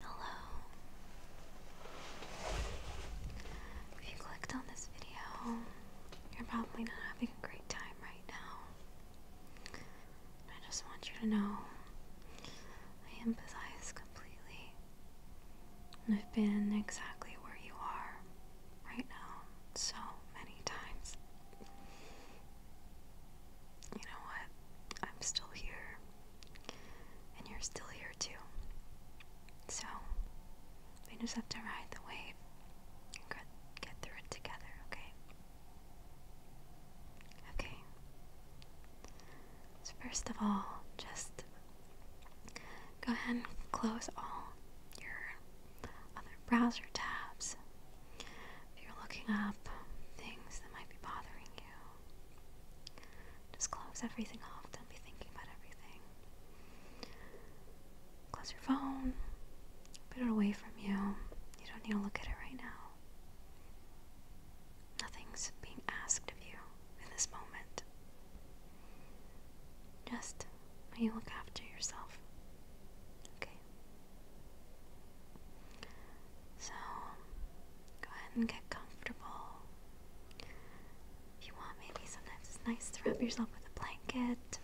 Hello. If you clicked on this video, you're probably not having a great time right now. I just want you to know I empathize completely. I've been exactly where you are right now so many times. You know what? I'm still here. And you're still here too. So, we just have to ride the wave and get, get through it together, okay? Okay. So, first of all, just go ahead and close all your other browser tabs. If you're looking up things that might be bothering you, just close everything off. Don't be thinking about everything. Close your phone. Put it away from you. You don't need to look at it right now. Nothing's being asked of you in this moment. Just you look after yourself. Okay? So go ahead and get comfortable. If you want, maybe sometimes it's nice to wrap yourself with a blanket,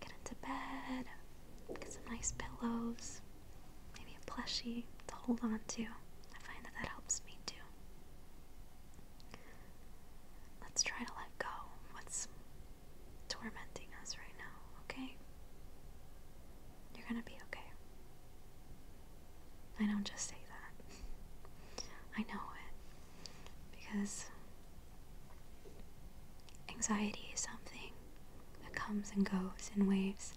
get into bed, get some nice pillows, maybe a plushie to hold on to. I find that that helps me too. Let's try to let go what's tormenting us right now, okay? You're gonna be okay. I don't just say that. I know it. Because anxiety is something that comes and goes in waves,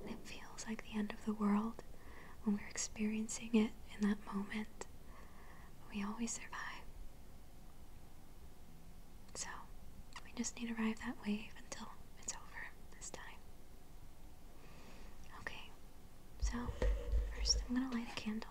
and it feels like the end of the world when we're experiencing it in that moment. we always survive. So, we just need to ride that wave until it's over this time. Okay, so first I'm going to light a candle.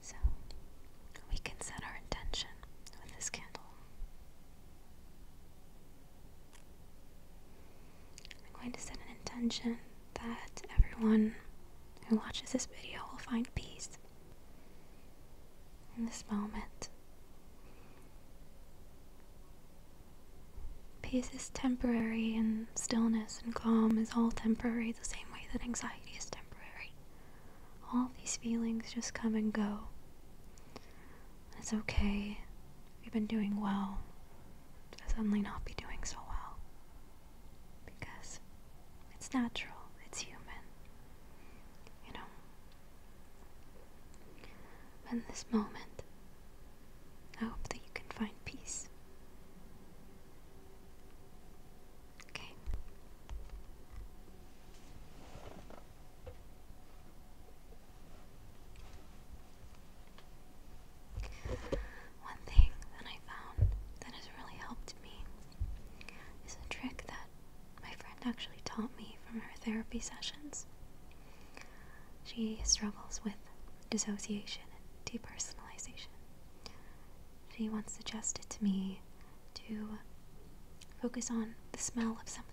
So we can set our intention with this candle. I'm going to set an intention that everyone who watches this video will find peace in this moment. Peace is temporary, and stillness and calm is all temporary, the same way that anxiety is temporary all these feelings just come and go. It's okay. We've been doing well. To suddenly not be doing so well. Because it's natural. It's human. You know? in this moment, I hope that you can find peace. Okay. One thing that I found that has really helped me is a trick that my friend actually taught me from her therapy sessions. She struggles with dissociation and depersonalization. She once suggested to me to focus on the smell of something,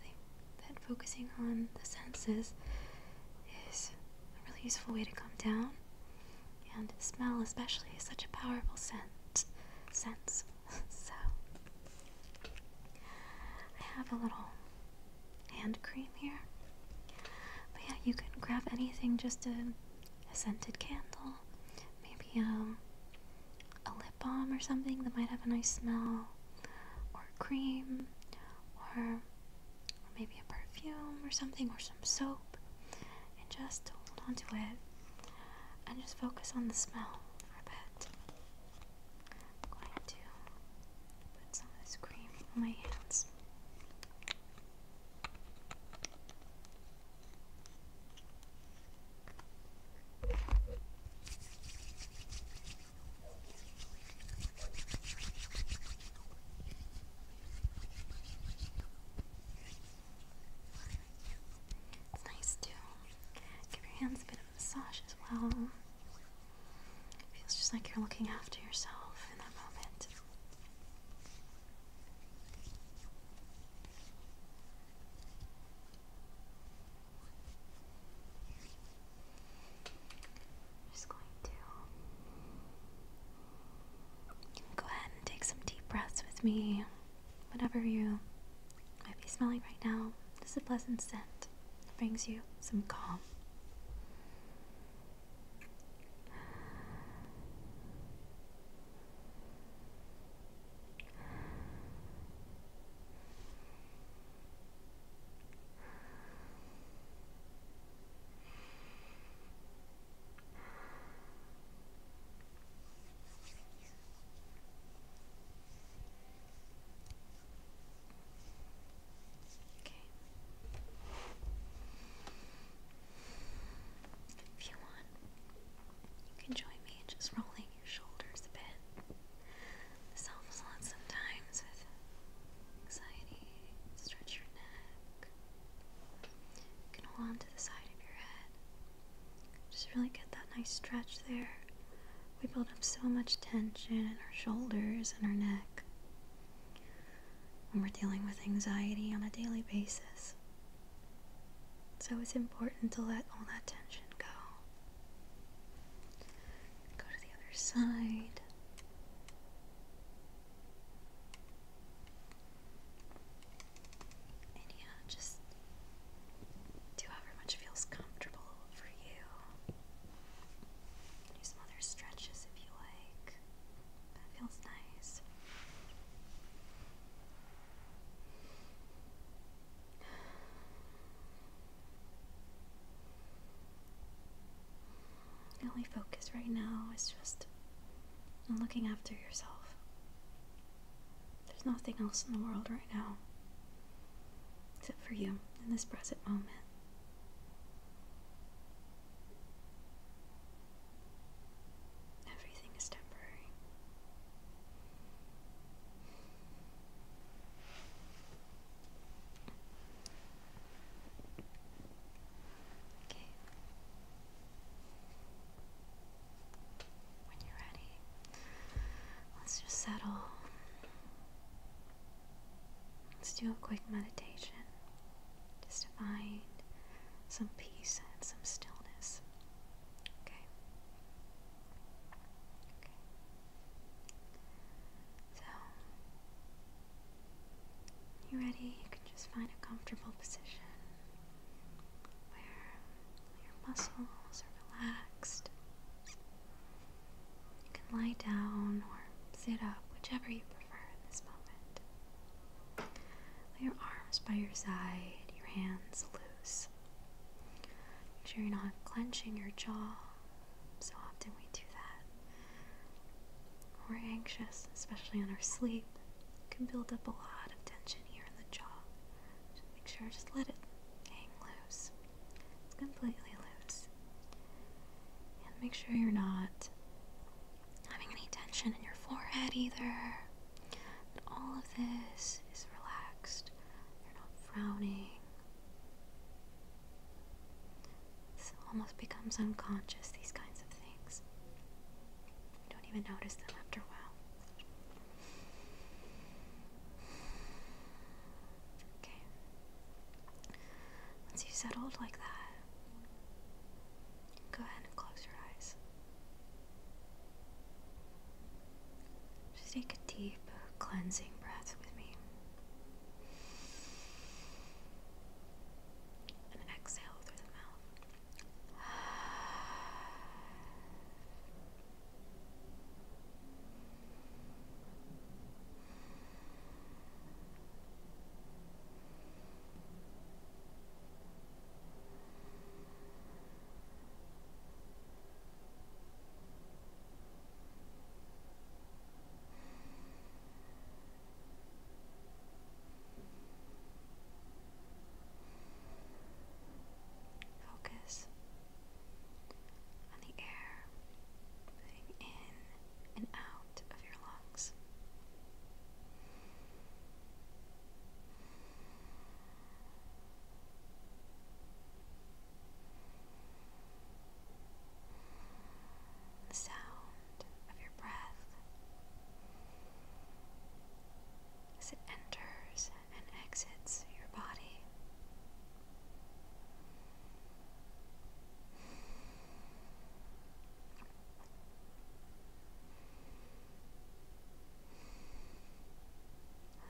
that focusing on the senses is a really useful way to calm down. And smell, especially, is such a powerful scent. Sense. so, I have a little hand cream here. But yeah, you can grab anything just to a scented candle, maybe um, a lip balm or something that might have a nice smell, or cream, or, maybe a perfume or something, or some soap, and just hold on to it and just focus on the smell for a bit. I'm going to put some of this cream on my hands. It's nice to give your hands a bit of massage as well. feels just like you're looking after yourself in that moment just going to go ahead and take some deep breaths with me. Whatever you might be smelling right now, this is a pleasant scent that brings you some calm. Okay. If you want, you can join me in just rolling your shoulders a bit. This helps a lot sometimes with anxiety. Stretch your neck. You can hold on the side of your head. Just really get that nice stretch there. We build up so much tension in our shoulders and our neck when we're dealing with anxiety on a daily basis. So it's important to let all that tension go. Go to the other side. And just do however much feels comfortable for you. Do some other stretches if you like. That feels nice. The only focus right now is just on looking after yourself. There's nothing else in the world right now except for you in this present moment. Everything is temporary. Okay. When you're ready, let's just settle. Let's do a quick meditation just to find some peace and some stillness. Okay. Okay. So, you ready? You can just find a comfortable position where your muscles are relaxed. You can lie down or sit up, whichever you prefer in this moment. Lay your arms by your side, your hands loose. Make sure you're not clenching your jaw. So often we do that. we're anxious, especially in our sleep. can build up a lot of tension here in the jaw. Just make sure, just let it hang loose. It's completely loose. And make sure you're not having any tension in your forehead either all of this is relaxed. You're not frowning. This almost becomes unconscious, these kinds of things. You don't even notice them after a while. Okay. Once you settled like that, Go ahead and close your eyes. Just take a deep cleansing breath with me. And exhale through the mouth. Focus on the air moving in and out of your lungs the sound of your breath as it enters and exits your body.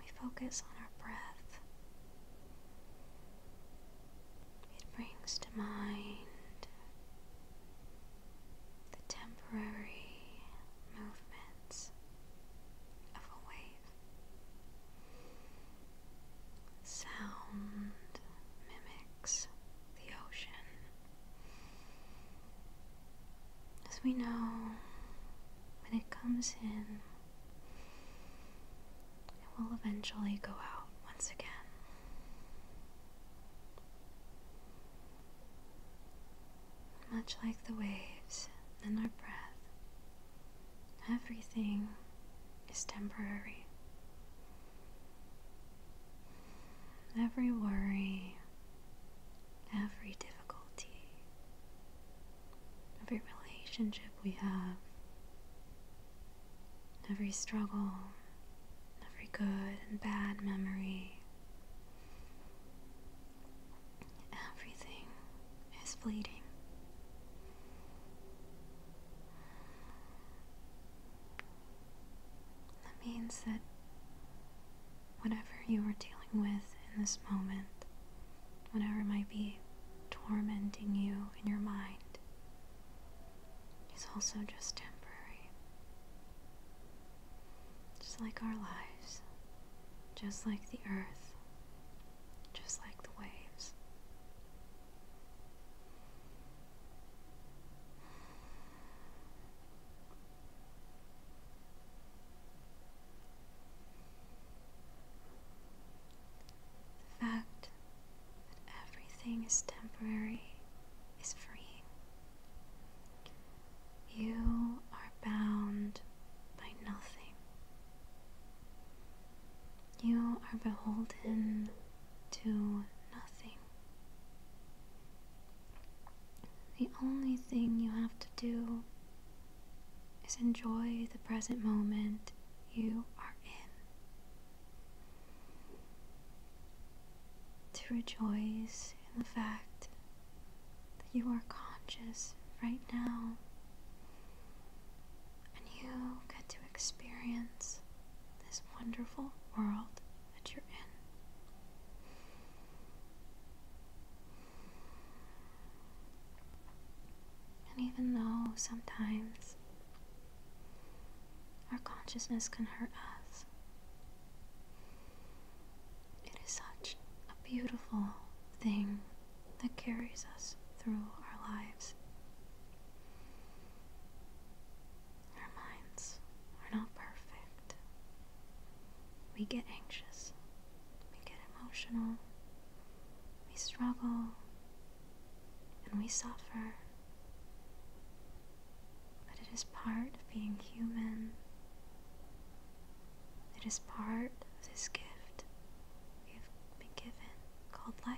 We focus on our breath. It brings to mind the temporary movements of a wave. Sound mimics the ocean. As we know, when it comes in, it will eventually go out once again. Much like the waves in our breath, everything is temporary every worry, every difficulty, every relationship we have, every struggle, every good and bad memory. Everything is fleeting. That means that whatever you are dealing with in this moment, whatever might be tormenting you in your mind, is also just temporary. Just like our lives, just like the earth, just like the waves. The fact that everything is temporary is freeing. You are bound by nothing. You are beholden to nothing. The only thing you have to do is enjoy the present moment you are in. To rejoice in the fact that you are conscious right now and you get to experience this wonderful world that you're in. And even though sometimes our consciousness can hurt us, it is such a beautiful thing that carries us through our lives. Our minds are not perfect. We get anxious, we get emotional, we struggle, and we suffer. But it is part of being human. It is part of this gift we have been given called life.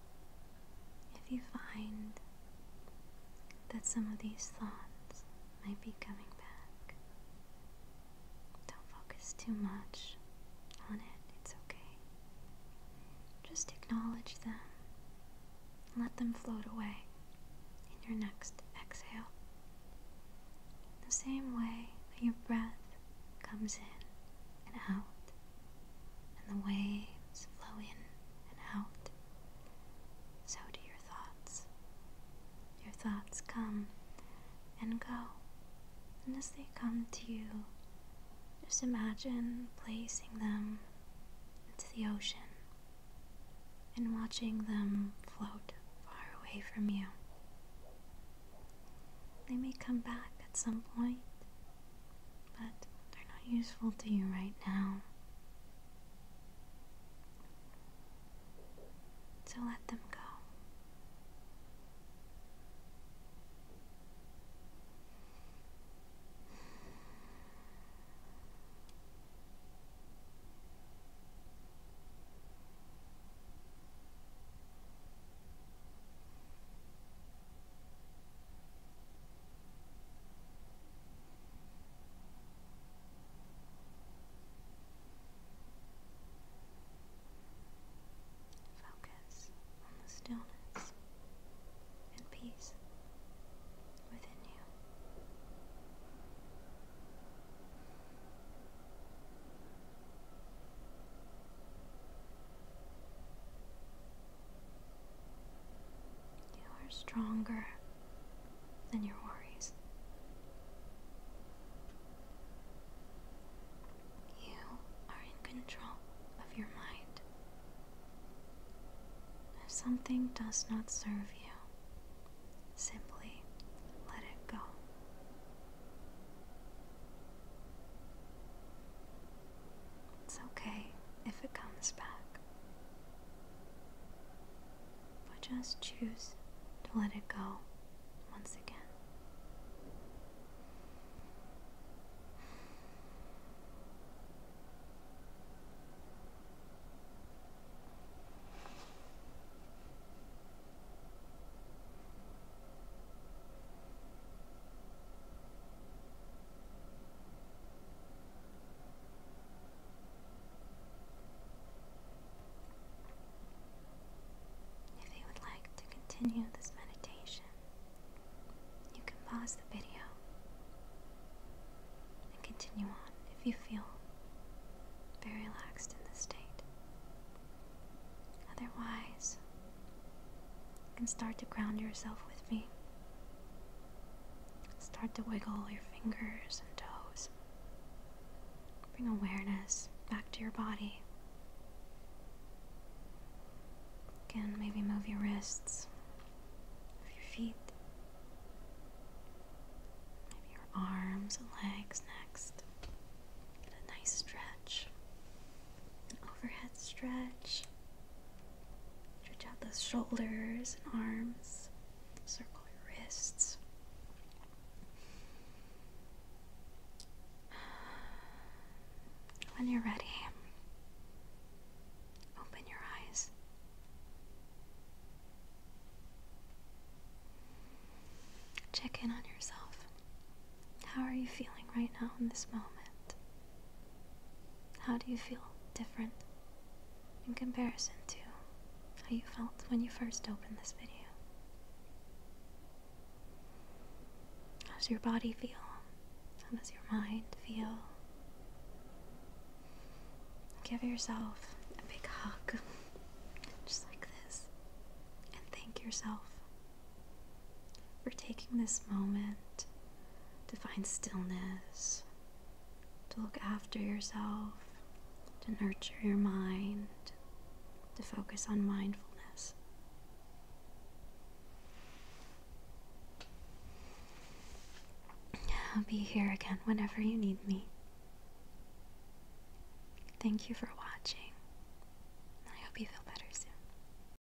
If you find that some of these thoughts might be coming back, don't focus too much on it. It's okay. Just acknowledge them. Let them float away in your next exhale. The same way that your breath comes in and out, and the waves flow in and out. So do your thoughts. Your thoughts come and go, and as they come to you, just imagine placing them into the ocean and watching them float far away from you. They may come back at some point, but they're not useful to you right now. So let them go. Focus on the stillness and peace within you. You are stronger than your worries. You are in control of your mind. If something does not serve you, simply let it go. It's okay if it comes back. But just choose to let it go once again. If you would like to continue this meditation, you can pause the video and continue on if you feel very relaxed in this state. Otherwise, and start to ground yourself with me. Start to wiggle your fingers and toes. Bring awareness back to your body. Again, maybe move your wrists, your feet, maybe your arms and legs next. Get a nice stretch an overhead stretch. Stretch out those shoulders and arms. Circle your wrists. When you're ready, open your eyes. Check in on yourself. How are you feeling right now in this moment? How do you feel different in comparison to how you felt when you first opened this video? How does your body feel? How does your mind feel? Give yourself a big hug, just like this, and thank yourself for taking this moment to find stillness, to look after yourself, to nurture your mind, to focus on mindfulness. I'll be here again whenever you need me. Thank you for watching. I hope you feel better soon.